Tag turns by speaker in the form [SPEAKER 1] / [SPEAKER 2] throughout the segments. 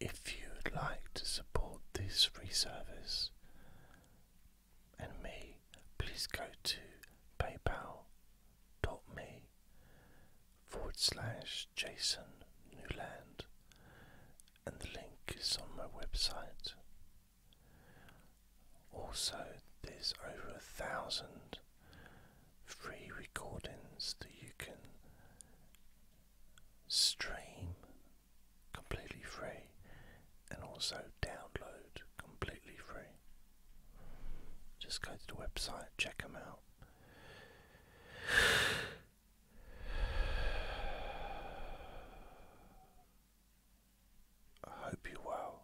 [SPEAKER 1] If you would like to support this free service and me, please go to paypal.me forward slash Jason Newland and the link is on my website. Also, there's over a thousand free recordings that you can stream completely free and also download completely free. Just go to the website, check them out. I hope you will.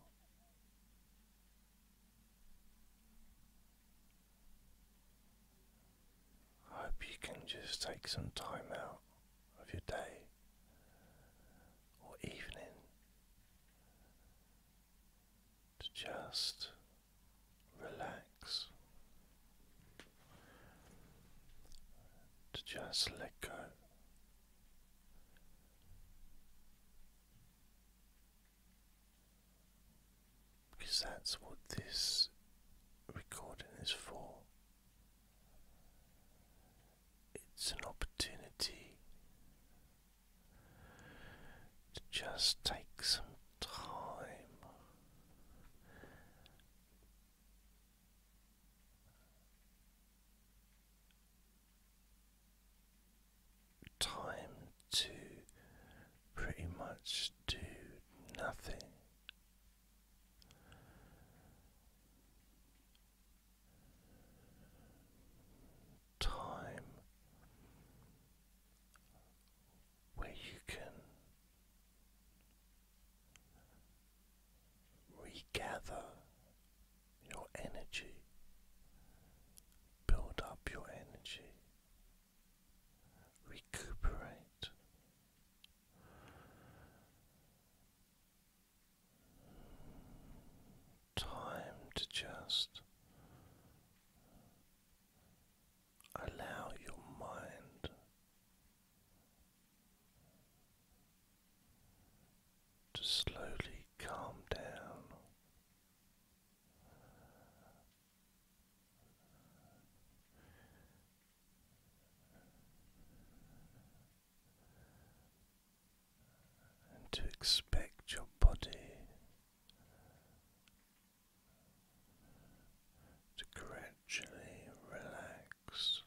[SPEAKER 1] I hope you can just take some time out of your day or evening to just relax, to just let go. Because that's what this recording is for. It's an opportunity to just take some time time to pretty much do nothing. Time where you can regather your energy, build up your energy, recuperate. Time to just allow your mind to slowly calm down. And to expect your body to gradually relax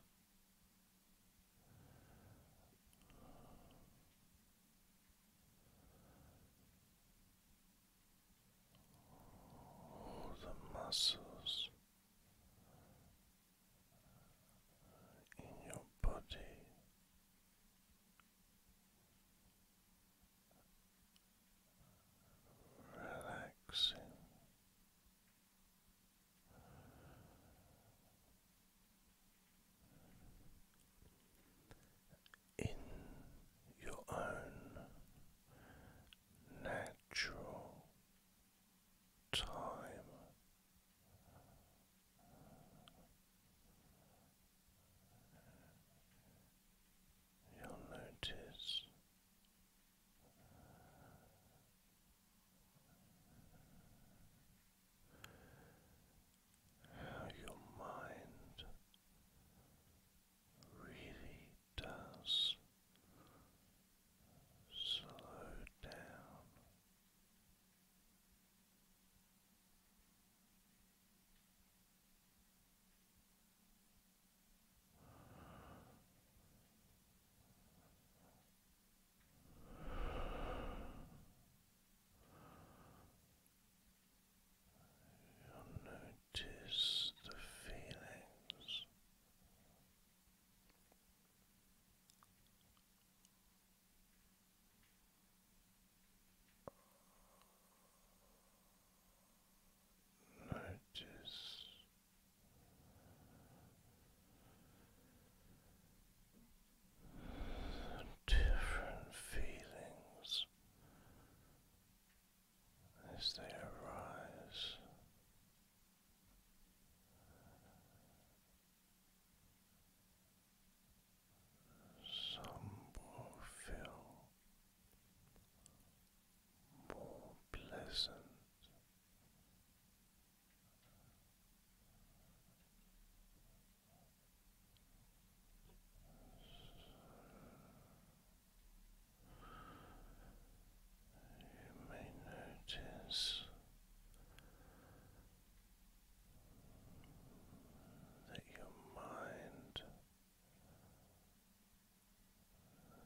[SPEAKER 1] all the muscles in your body. Relaxing, in your own natural time. You'll notice how your mind really does slow down you notice the feelings notice different feelings as they arise. Some will feel more pleasant you may notice that your mind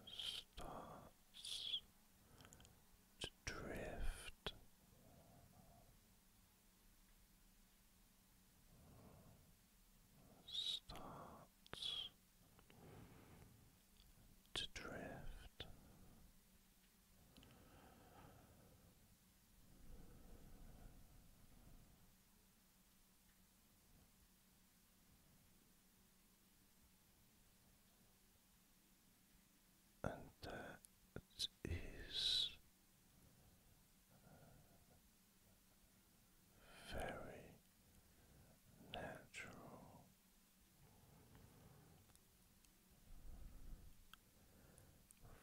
[SPEAKER 1] starts to drift. Starts to drift and that is uh, very natural.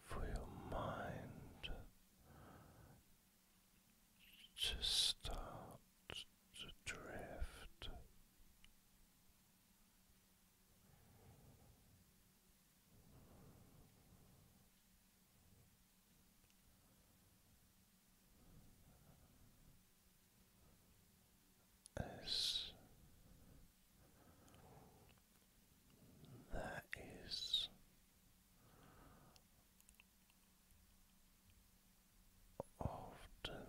[SPEAKER 1] For your mind to start to drift. As that is often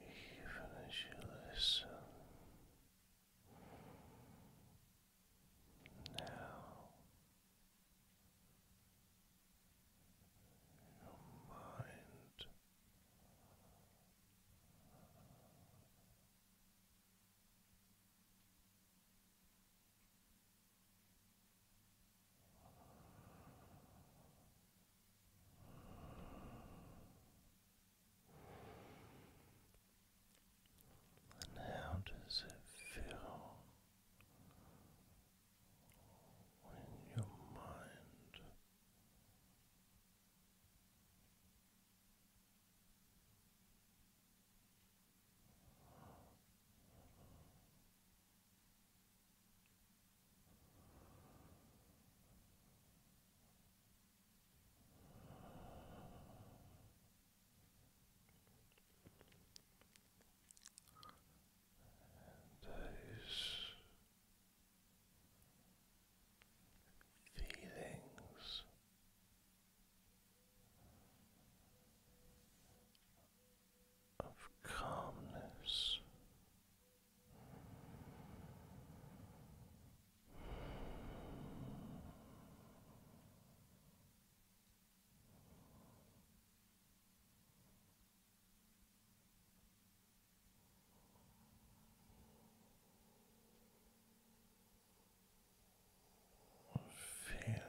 [SPEAKER 1] even as you listen now your mind. And how does it feel when your mind those feelings. Of calmness, Feel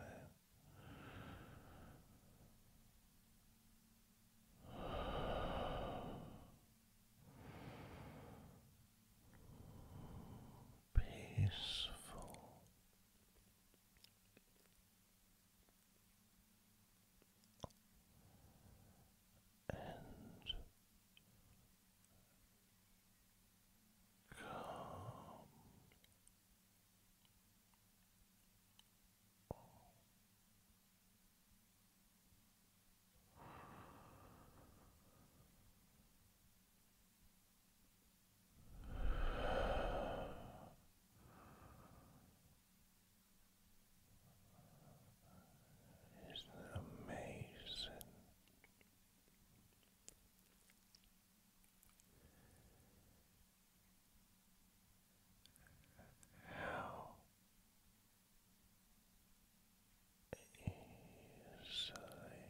[SPEAKER 1] Peaceful, and calm. Isn't it amazing? How easily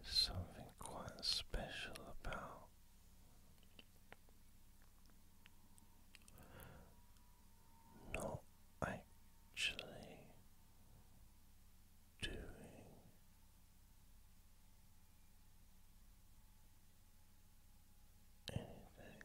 [SPEAKER 1] There's something quite special about not actually doing anything.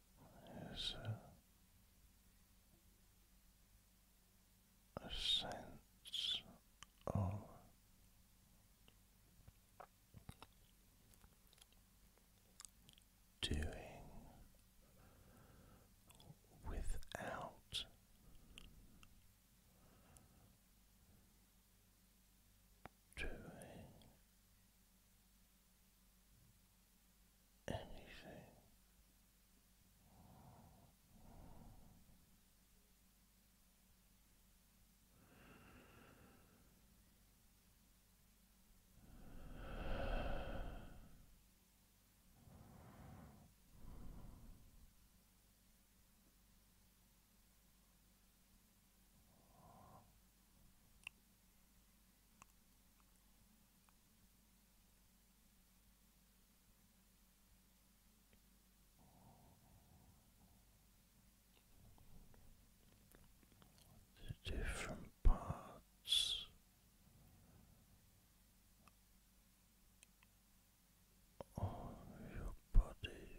[SPEAKER 1] There's a, a sense of doing without doing anything the different parts of your body.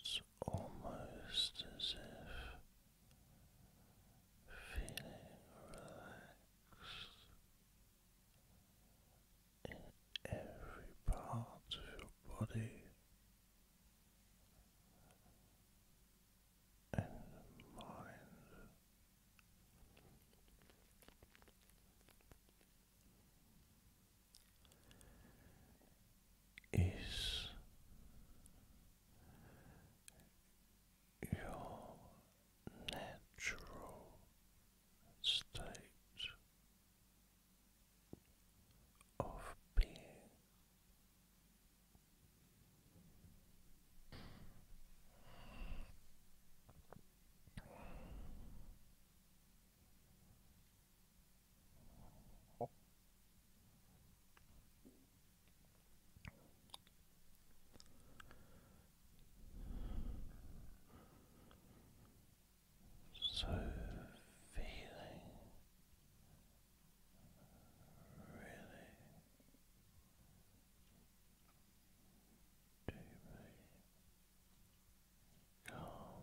[SPEAKER 1] It's almost as if feeling relaxed in every part of your body and mind is your natural state of being. So feeling really deeply calm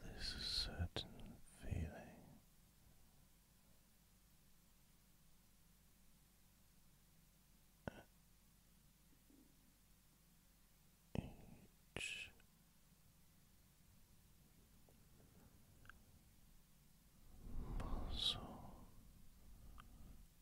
[SPEAKER 1] There's a certain feeling at each muscle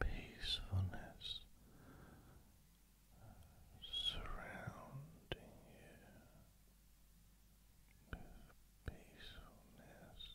[SPEAKER 1] Peacefulness surrounding you with peacefulness.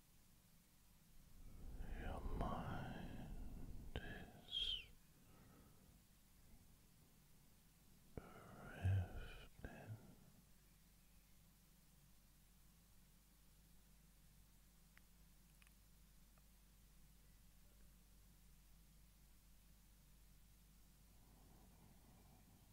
[SPEAKER 1] your mind is drifting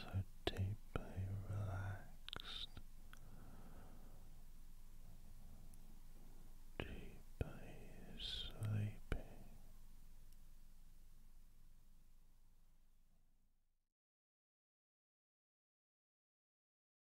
[SPEAKER 1] so deeply relaxed, deeply sleepy.